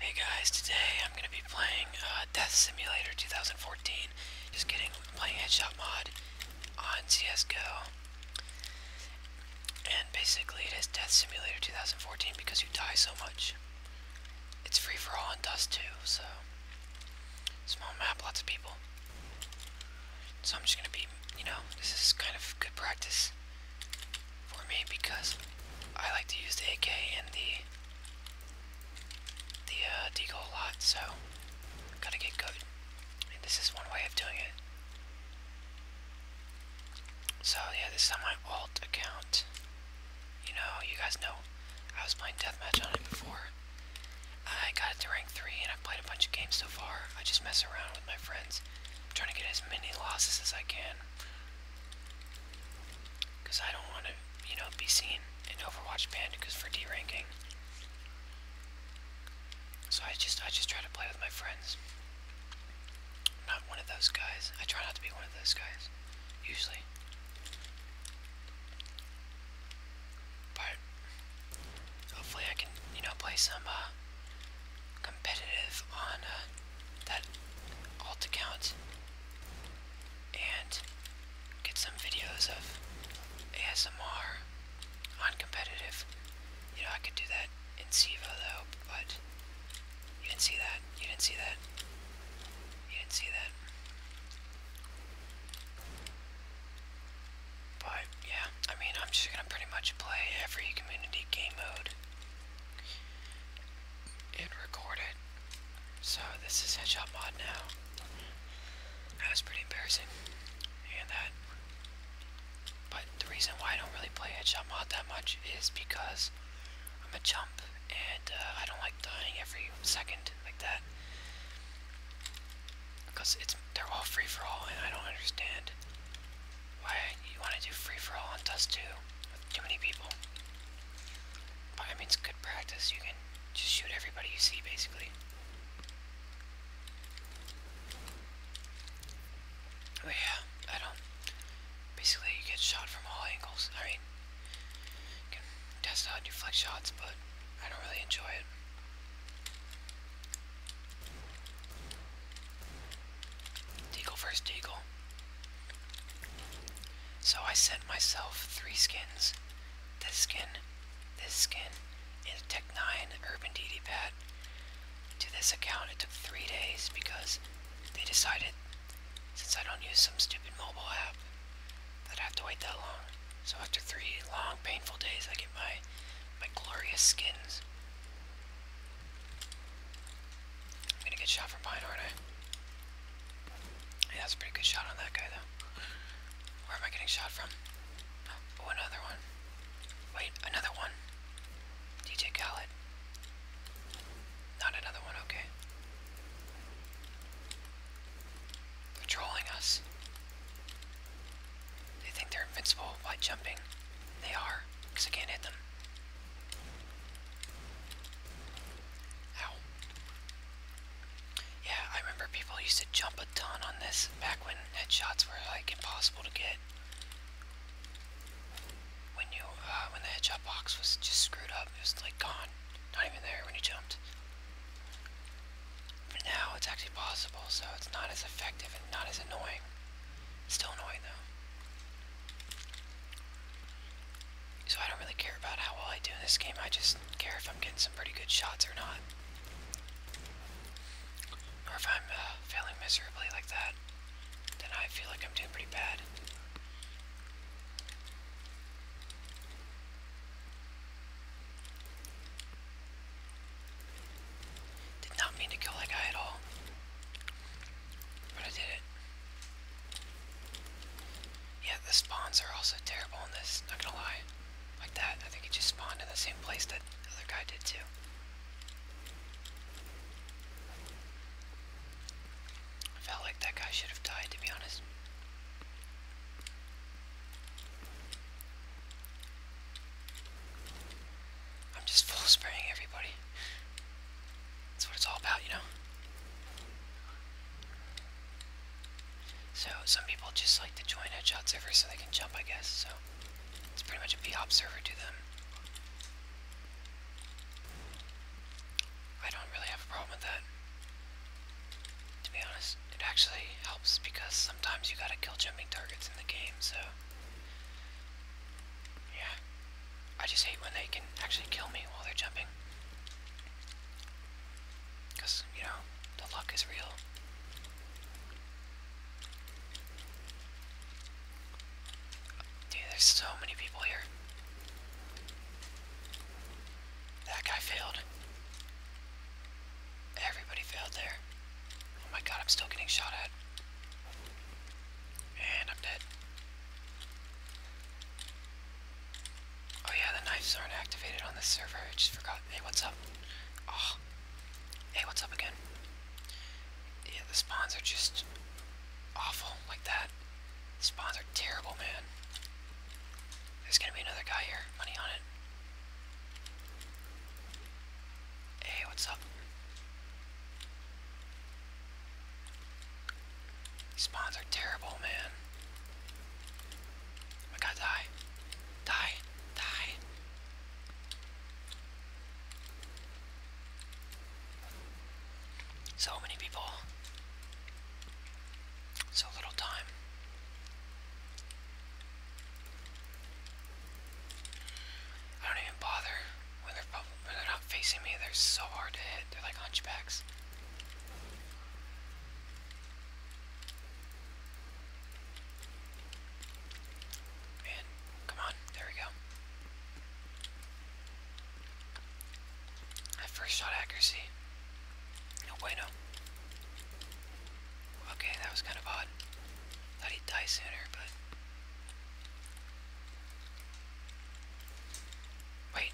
Hey guys, today I'm going to be playing uh, Death Simulator 2014. Just kidding, i playing Headshot Mod on CSGO. And basically it is Death Simulator 2014 because you die so much. It's free for all on Dust too. so... Small map, lots of people. So I'm just going to be, you know, this is kind of good practice for me because I like to use the AK and the the uh, a lot, so gotta get good. this is one way of doing it. So yeah, this is on my alt account. You know, you guys know I was playing deathmatch on it before. I got it to rank 3 and I've played a bunch of games so far. I just mess around with my friends. I'm trying to get as many losses as I can because I don't want to, you know, be seen in Overwatch banned because for D-ranking. So I just, I just try to play with my friends. not one of those guys. I try not to be one of those guys. Usually. But, hopefully I can, you know, play some, uh, competitive on, uh, that alt account and get some videos of ASMR on competitive. You know, I could do that in SIVA though, but you didn't see that. You didn't see that. You didn't see that. But yeah, I mean, I'm just gonna pretty much play every community game mode and record So this is Headshot Mod now. That was pretty embarrassing. And that. But the reason why I don't really play Headshot Mod that much is because I'm a chump and uh, I don't like dying every second like that. Because it's they're all free for all and I don't understand why you want to do free-for-all on Dust 2 with too many people. I mean, it's good practice. You can just shoot everybody you see, basically. Oh yeah, I don't... Basically, you get shot from all angles. I mean, you can test out your flex shots, but I don't really enjoy it. Deagle first Deagle. So I sent myself three skins. This skin, this skin, and a Tech 9 Urban DD pad. To this account it took three days because they decided, since I don't use some stupid mobile app, that I have to wait that long. So after three long, painful days, I get my my glorious skins. I'm gonna get shot from behind, aren't I? Yeah, that's a pretty good shot on that guy, though. Where am I getting shot from? Oh, another one. Wait, another one. DJ Khaled. Not another one, okay. they us. They think they're invincible by jumping. They are, because I can't hit them. Ow. Yeah, I remember people used to jump a ton on this back when headshots were like impossible to get. When you, uh, when the headshot box was just screwed up, it was like gone. Not even there when you jumped. now it's actually possible, so it's not as effective and not as annoying. Still annoying though. So I don't really care about how well I do in this game, I just care if I'm getting some pretty good shots or not. Or if I'm uh, failing miserably like that, then I feel like I'm doing pretty bad. Did not mean to kill that guy at all. But I did it. Yeah, the spawns are also terrible in this, not gonna lie. Like that, I think it just spawned in the same place that the other guy did too. I felt like that guy should have died, to be honest. I'm just full spraying everybody. That's what it's all about, you know? So, some people just like to join headshots over so they can jump, I guess, so... It's pretty much a B-hop server to them. I don't really have a problem with that. To be honest, it actually helps because sometimes you gotta kill jumping targets in the game, so... Yeah. I just hate when they can actually kill me while they're jumping. Because, you know, the luck is real. Dude, there's so many people here. That guy failed. Everybody failed there. Oh my god, I'm still getting shot at. And I'm dead. Oh yeah, the knives aren't activated on this server. I just forgot. Hey, what's up? Oh. Hey, what's up again? Yeah, the spawns are just awful like that. spawns are terrible, man. There's gonna be another guy here. Money on it. Hey, what's up? Spawns are terrible, man. I gotta die. Die. Die. So many people. So little time. I don't even bother when they're, when they're not facing me. They're so hard to hit. They're like hunchbacks. Man, come on. There we go. That first shot accuracy. No bueno. Okay, that was kind of odd. Thought he'd die sooner, but... Wait,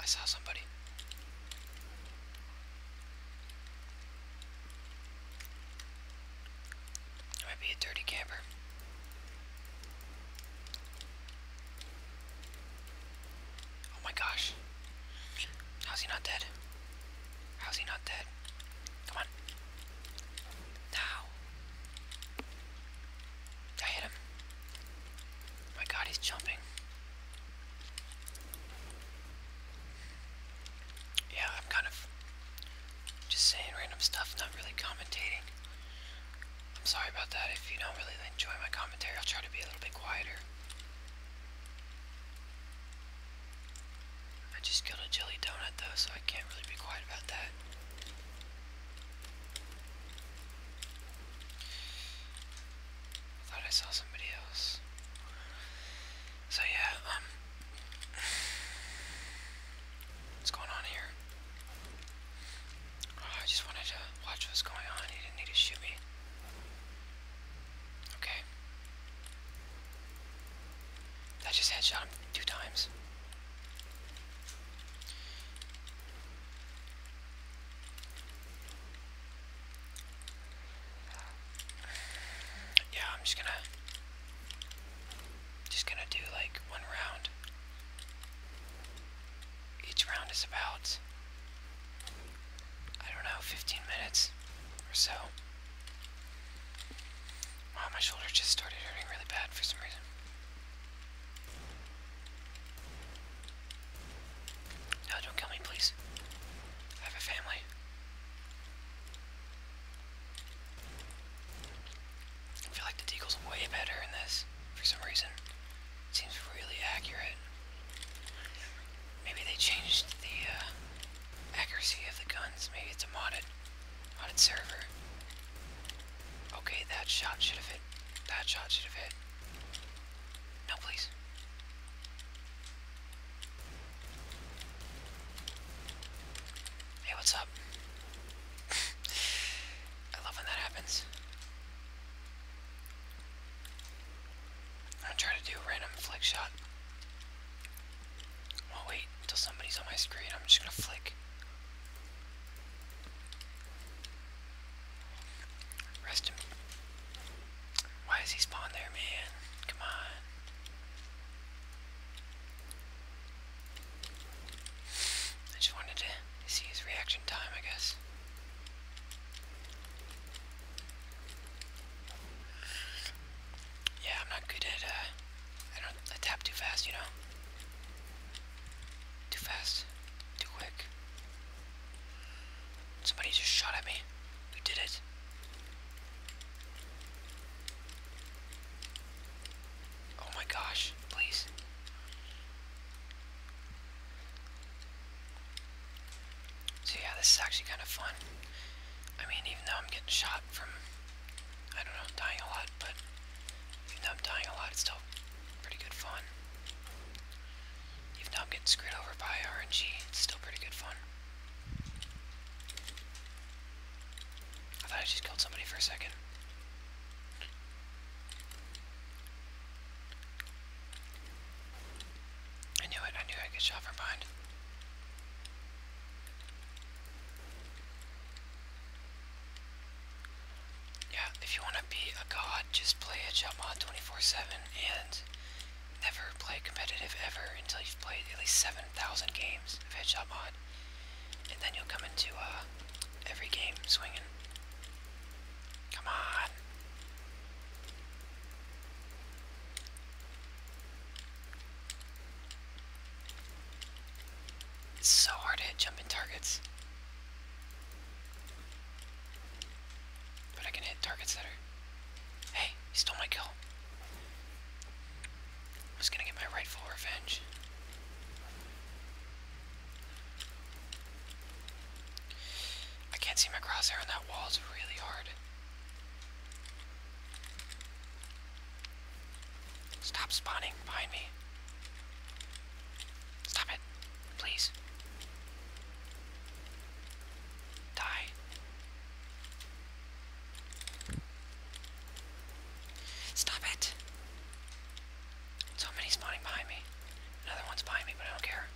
I saw somebody. It might be a dirty camper. Oh my gosh. How's he not dead? How's he not dead? Come on. Now. I hit him. my god, he's jumping. Yeah, I'm kind of just saying random stuff, not really commentating. I'm sorry about that. If you don't really enjoy my commentary, I'll try to be a little bit quieter. I just killed a jelly donut though, so I can't really be quiet about that. I thought I saw somebody else. So yeah, um what's going on here? Oh, I just wanted to watch what's going on. He didn't need to shoot me. Okay. That just headshot him two times. Yeah, I'm just gonna just gonna do like one round. Each round is about I don't know, 15 minutes or so. Wow, my shoulder just started hurting really bad for some reason. No, don't kill me, please. I have a family. I feel like the deagle's way better in this for some reason. seems really accurate. Maybe they changed the uh, accuracy of the guns. Maybe it's a modded, modded server. Okay, that shot should have hit. That shot should have hit. No, please. Hey, what's up? I love when that happens. I try to do random flick shot. Well, wait until somebody's on my screen. I'm just gonna flick. Rest him. Why is he spawned there, man? Come on. I just wanted to see his reaction time, I guess. Yeah, I'm not good at, uh, I don't, tap too fast, you know? Too fast. Too quick. Somebody just shot at me. Who did it? Oh my gosh, please. So yeah, this is actually kind of fun. I mean, even though I'm getting shot from, I don't know, dying a lot, but even though I'm dying a lot, it's still pretty good fun. Even though I'm getting screwed over by RNG, it's still pretty good fun. I thought I just killed somebody for a second. I knew it, I knew I could shot from Yeah, if you want to be a god, just play a jump mod 24-7 and never play competitive ever until you've played at least 7,000 games of Headshot Mod. And then you'll come into uh, every game swinging. Come on. It's so hard to hit jumping targets. But I can hit targets that are... Hey, he stole my kill. I was gonna get my rightful revenge. I can't see my crosshair on that wall, it's really hard. Stop spawning behind me. Stop it, please. Die. Stop it. So many spawning behind me. Another one's behind me, but I don't care.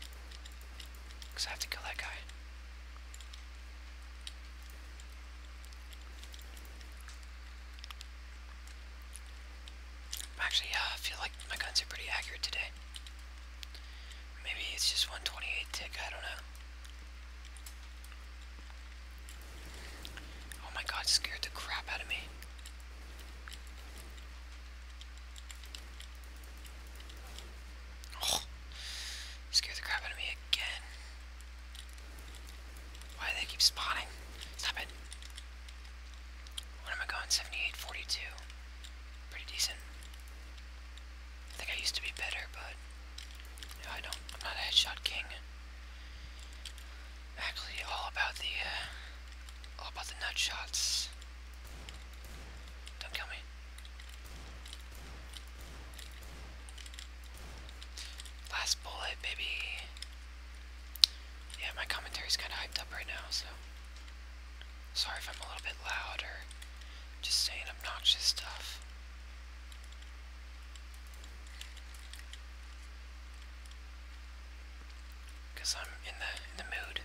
Because I have to kill that guy. Actually, yeah, I feel like my guns are pretty accurate today. Maybe it's just 128 tick, I don't know. Oh my god, scared the crap out of me. Oh, scared the crap out of me again. Why do they keep spawning? Stop it. What am I going? 78, 42. Pretty decent. I think I used to be better, but I don't. I'm not a headshot king actually all about the, uh, all about the nut shots. Don't kill me. Last bullet, baby. Yeah, my commentary's kind of hyped up right now, so. Sorry if I'm a little bit loud just saying obnoxious stuff because I'm in the in the mood.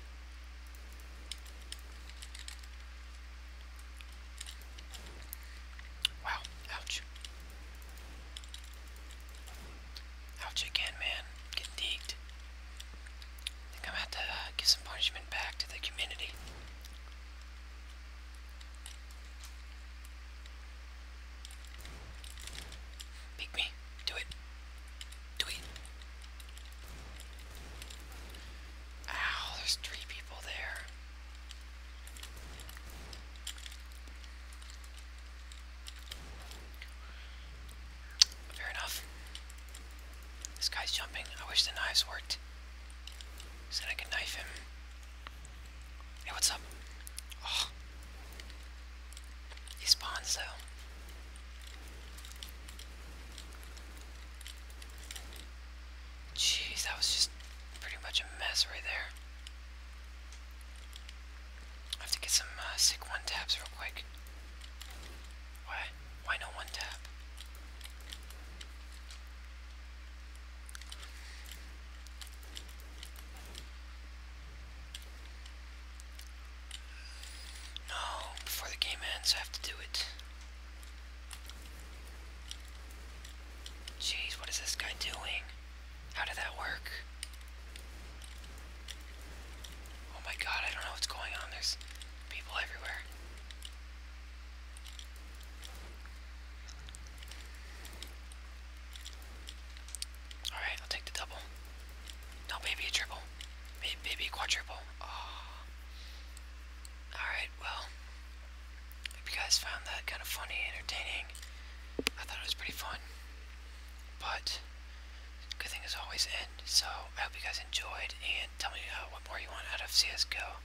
Wow, ouch. Ouch again, man. Getting deeked. think I'm gonna uh, give some punishment back to the community. Pick me. Do it. Do it. Ow, there's three people there. Fair enough. This guy's jumping. I wish the knives worked. So then I could knife him. Hey, what's up? He spawns though. Jeez, that was just pretty much a mess right there. I have to get some uh, sick one taps real quick. Why? Why no one tap? No, before the game ends, I have to do it. Jeez, what is this guy doing? How did that work? Oh my god, I don't know what's going on. There's people everywhere. Alright, I'll take the double. No, maybe a triple. Maybe, quadruple. Oh. Ah. Alright, well. Hope you guys found that kind of funny, entertaining. I thought it was pretty fun. But, good thing always end. So, I hope you guys enjoyed, and tell me uh, what more you want out of CSGO.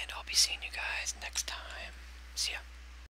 And I'll be seeing you guys next time. See ya.